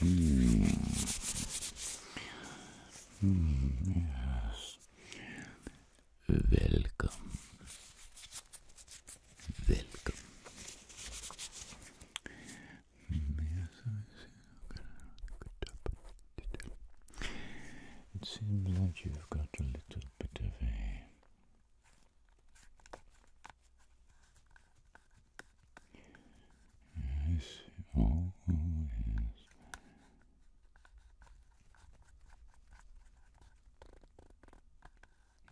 yes. Welcome. Welcome. It seems like you've got a little bit of a Yes, always.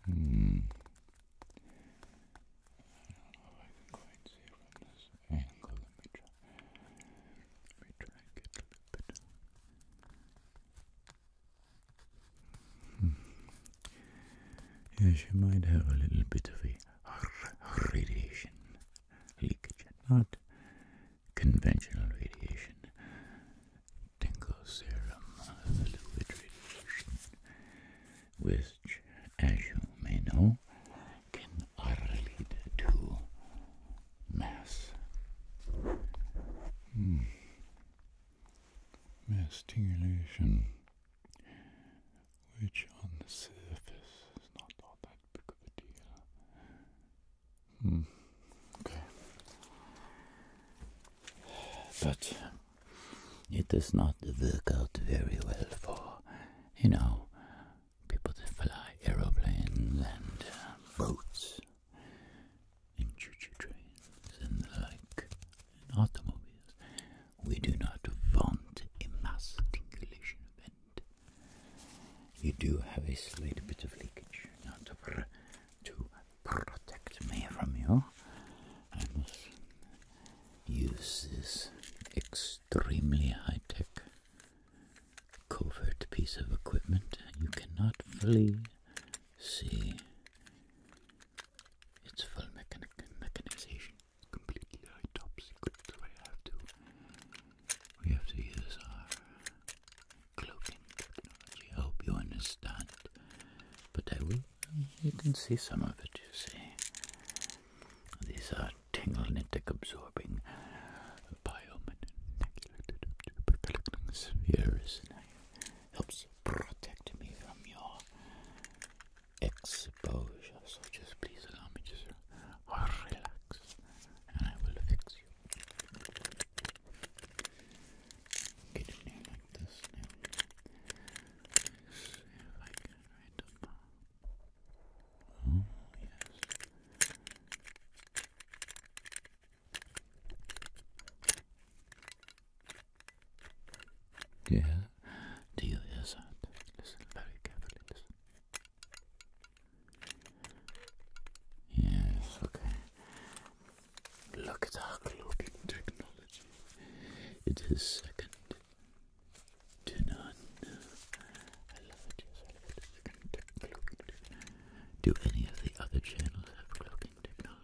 Hmm. I don't know if I can quite see from this angle. Let me try. Let me try a little bit. Hmm. Yes, you might have a little bit of a radiation leakage, not conventional radiation. Tingle serum has radiation, which, as you may know, can lead to mass. Hmm. Mass stimulation which on the surface is not all that big of a deal. Hmm. Okay. But it does not work out very well for, you know, people that fly aeroplanes and uh, boats and choo-choo trains and the like in automobiles. We do not want a mass event. You do have a slight bit of leakage, not to, to protect me from you. I must use this extremely high tech covert piece of equipment. You cannot fully see it's full mechanization. completely high top have to. We have to use our cloaking technology. I hope you understand. But I will. You can see some of it, you see. These are tingle netic absorbing biomanipulated spheres helps protect me from your exposure. So just please allow me to relax and I will fix you. Get in like this now. if I can right up. Oh, yes. Yeah. Do you hear Listen very carefully. Yes. Okay. Look at our clocking technology. It is second to none. I love it. Yes, I love it. Do any of the other channels have clocking technology?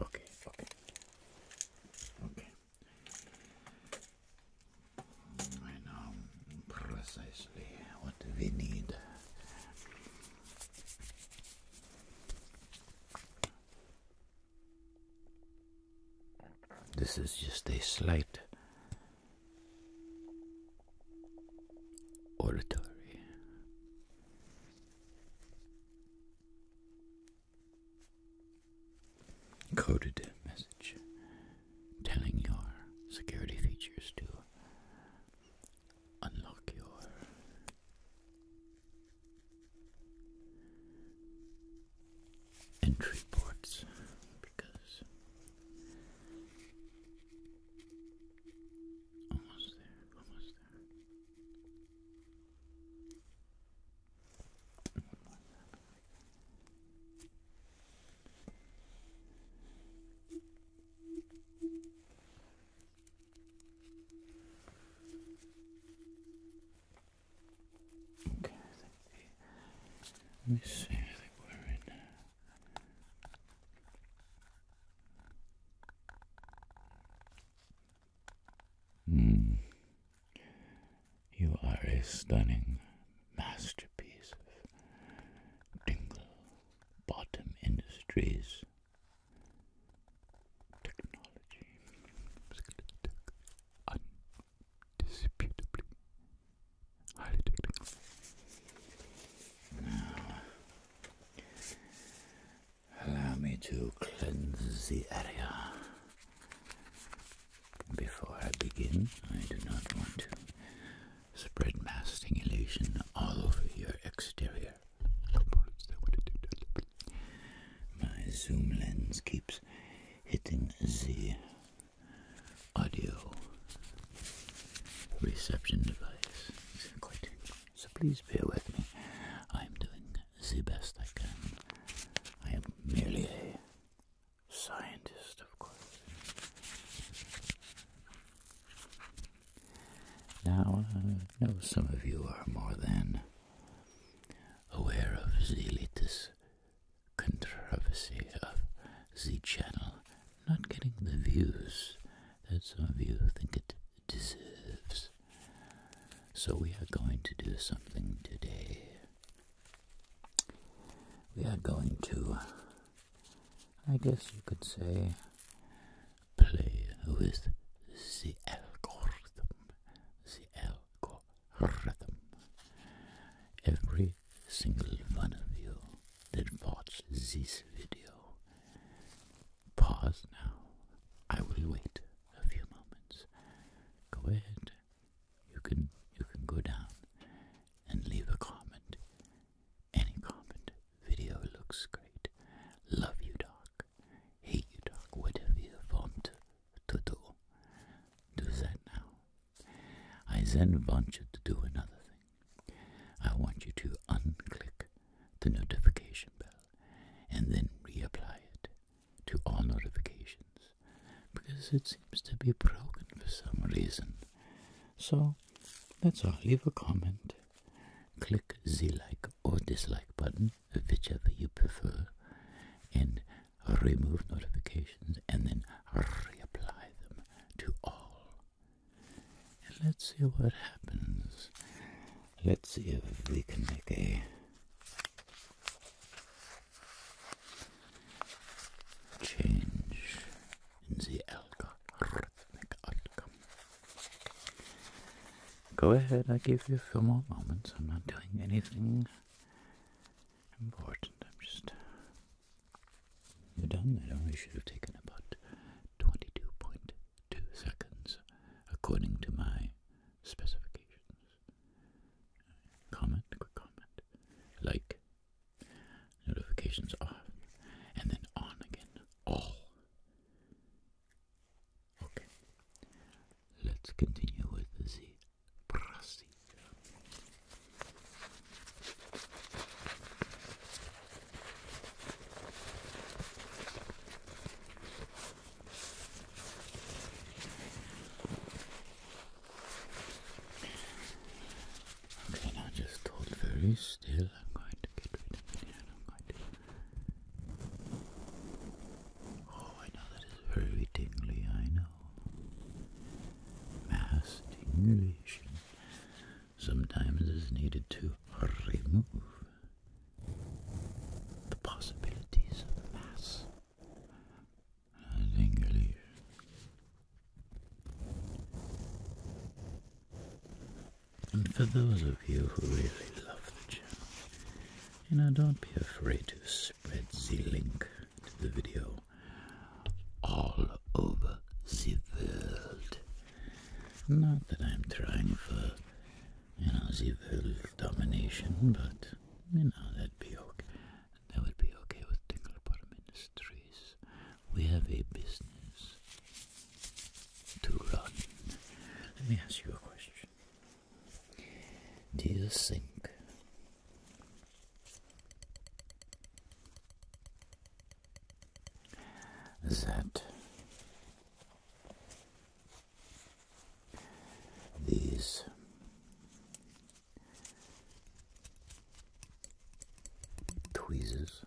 Okay, okay, okay. I know precisely what we need. This is just a slight auditory coded message telling your security features to unlock your entry ports because almost there, almost there. Okay, let me see, I think we're in Hmm. You are a stunning masterpiece of Dingle Bottom Industries technology. Undisputably highly technical. Now, Allow me to cleanse the area. Before I begin, I do not want to spread masking illusion all over your exterior. My zoom lens keeps hitting the audio reception device. So please bear with me. I am doing the best I can. I am merely a scientist, of course. Now, uh, I know some of you are more than aware of the latest controversy of the channel not getting the views that some of you think it deserves. So, we are going to do something today. We are going to, I guess you could say, play with the algorithm. The algorithm. Every single one of you that watches this video Pause now. I will wait a few moments. Go ahead. You can you can go down and leave a comment. Any comment. Video looks great. Love you, Doc. Hate you, Doc. Whatever you want to do. Do that now. I then want you to do another thing. I want you to unclick the notification bell and then reapply it to all notifications because it seems to be broken for some reason. So that's all. Leave a comment. Click the like or dislike button, whichever you prefer, and remove notifications and then reapply them to all. And let's see what happens. Let's see if we can make a change in the algorithmic outcome. Go ahead, I give you a few more moments. I'm not doing anything important. I'm just. You're done? It only should have taken about twenty-two 22.2 two seconds according to my specifications. Comment, comment, like, notifications off, and then on again, all. Okay, let's continue with the procedure. Okay, now just hold very still. I'm going to get rid of it Oh, I know that is very tingly, I know. Mass stimulation sometimes is needed to remove the possibilities of mass and And for those of you who really love the channel, you know, don't be afraid to spread the link to the video all over the world. Not that I'm trying for you know, domination, but, you know, that'd be okay. That would be okay with Tingle Bottom Industries. We have a business to run. Let me ask you a question. Do you think that these tweezers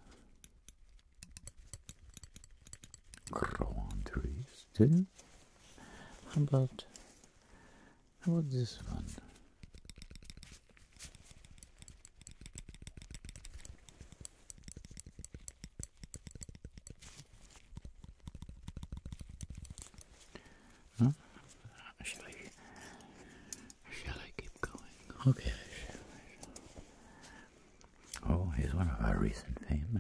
grow on How about how about this one? Shall I? keep going? Okay. Oh, here's one of our recent fame,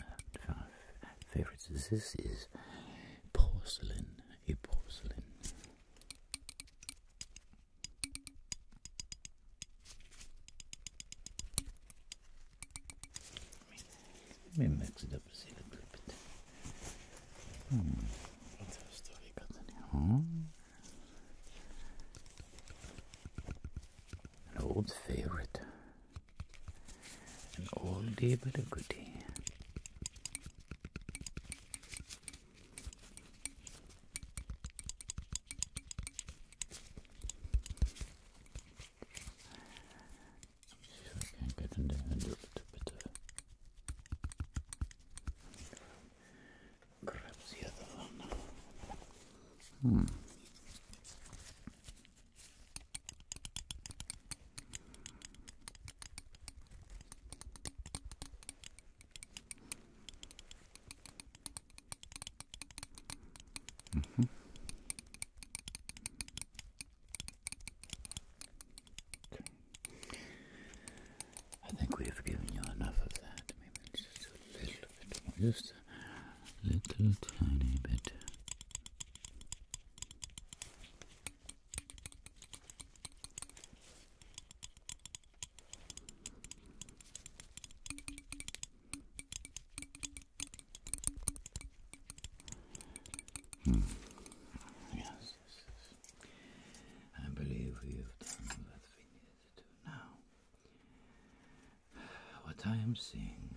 favorites. This is porcelain. A porcelain. Let me mix it up a little bit. Hmm. An old favorite. An oldie but a goodie. See if I can get in there and do a little bit of grab the other one. Hmm. Mm -hmm. I think we've given you enough of that. Maybe just a little bit Just a little tiny bit. Hmm. Yes, I believe we have done what we needed to do now. What I am seeing.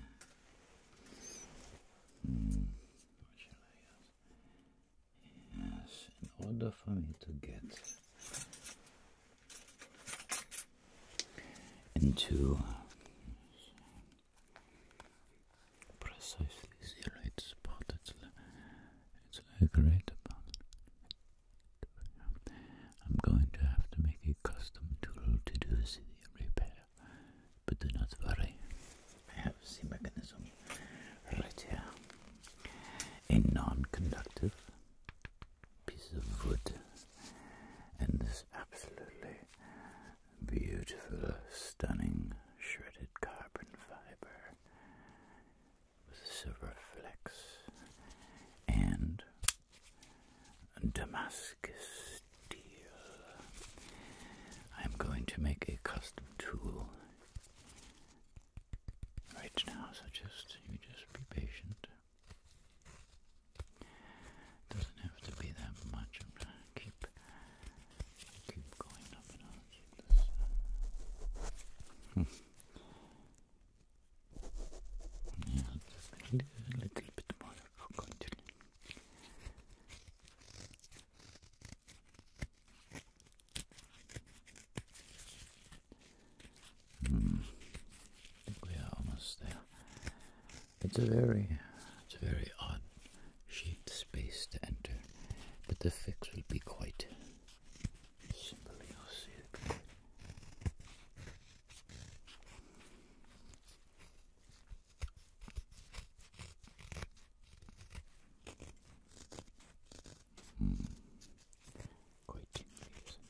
Hmm. Yes, in order for me to get into precisely zero. It's spotted. It's a great amount. I'm going to have to make a custom tool to do this repair, but do not worry. I have the mechanism right here. A non-conductive piece of wood and this absolutely beautiful, stunning shredded carbon fiber with silver flecks and Damascus steel. I'm going to make a custom tool right now, so just you just be patient. Doesn't have to be that much. keep keep going up and i yeah, just a little, bit more. I'm Hmm. we are almost there. It's a very, it's a very odd shaped space to enter, but the fix will be quite simple. Mm. Quite tingly, I think,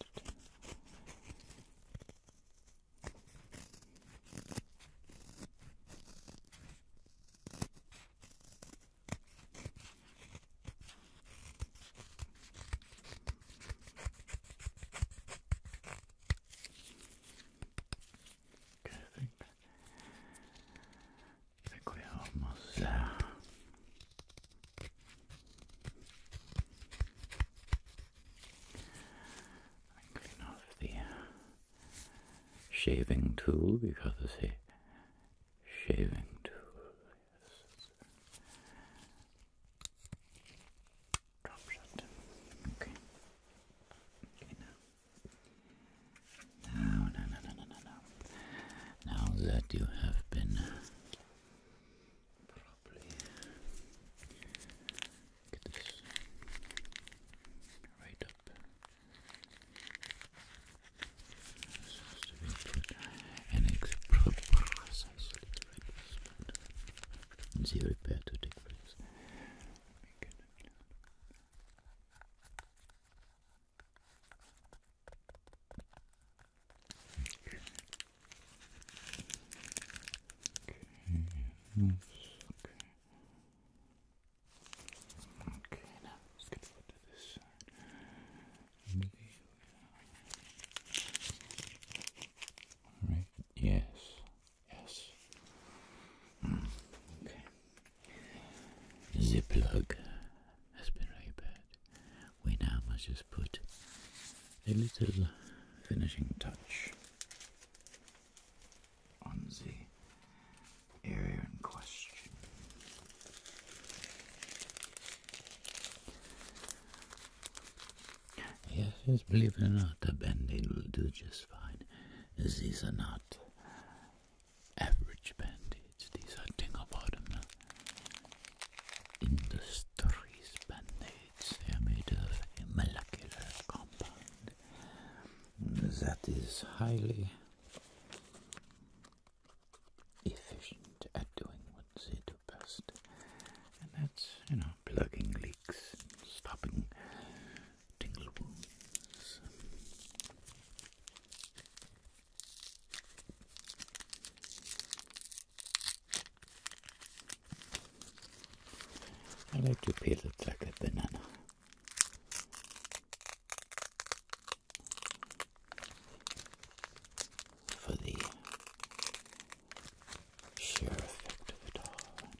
we almost clean off the shaving tool because it's a shaving tool. Drop shot. Okay. Okay now. Now, now, now, now, now, now. Now that you have been Probably get this right up. Supposed to be put an extra to take place. Okay, okay. Okay, now I'm just going this Alright, yes, yes. Okay. The plug has been really bad. We now must just put a little finishing touch on the area in question. Yes, yes, believe it or not, a bandage will do just fine. These are not average bandages. these are tingle bottom Industries band are made of a molecular compound that is highly efficient at doing what they do best. And that's, you know, plugging leaks, stopping tingle I like to peel it like a banana. For the sheer effect of it all.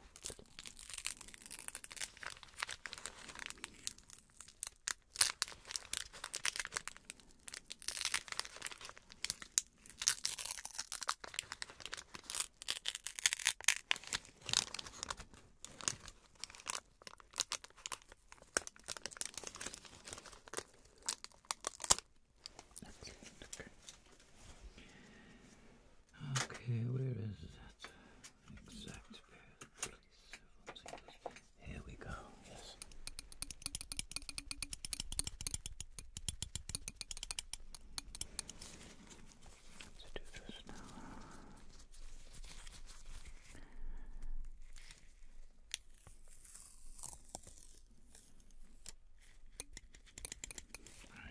Okay, where is that exact pair? Here we go. Yes. Let's do this now.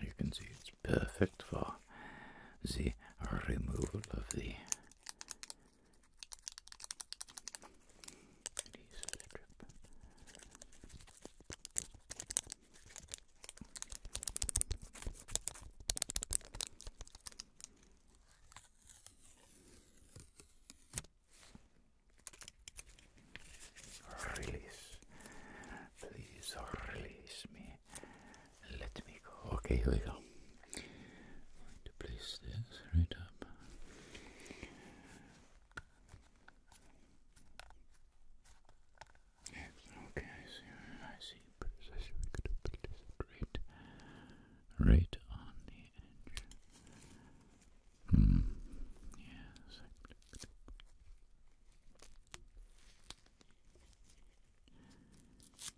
You can see it's perfect for the removal of the and he's Release, please release me. Let me go. Okay, here we go to place this right up. okay, I see. I see precisely. We could have put this right, right on the edge. Hmm, yes.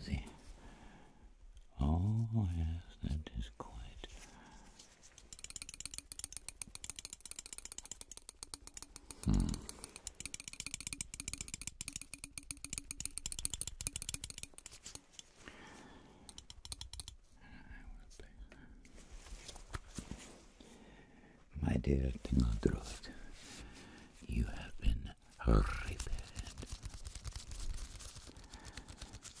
See? Oh, yes, that is quite. Hmm. My dear Tinodrod, you have been repaired.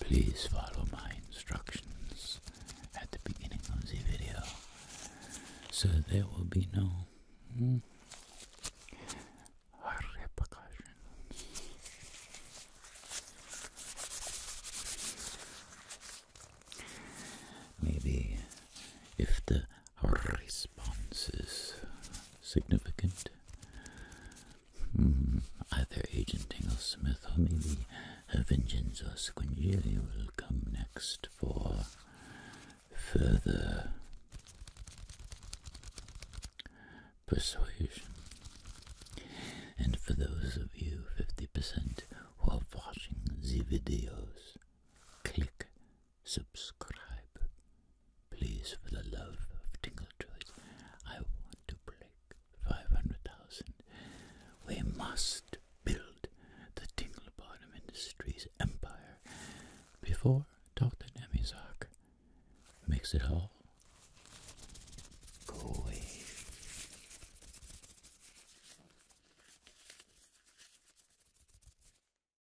Please follow my instructions at the beginning of the video so there will be no hmm, Maybe if the our responses significant. either hmm, Agent Dinglesmith or maybe Vengeance or Squingelia will come next for further persuasion. And for those of you 50% who are watching the videos, click subscribe. Please, for the love of Tingle Toys, I want to break 500,000. We must build the Tingle Bottom Industries empire before Dr. Nemizak makes it all go away.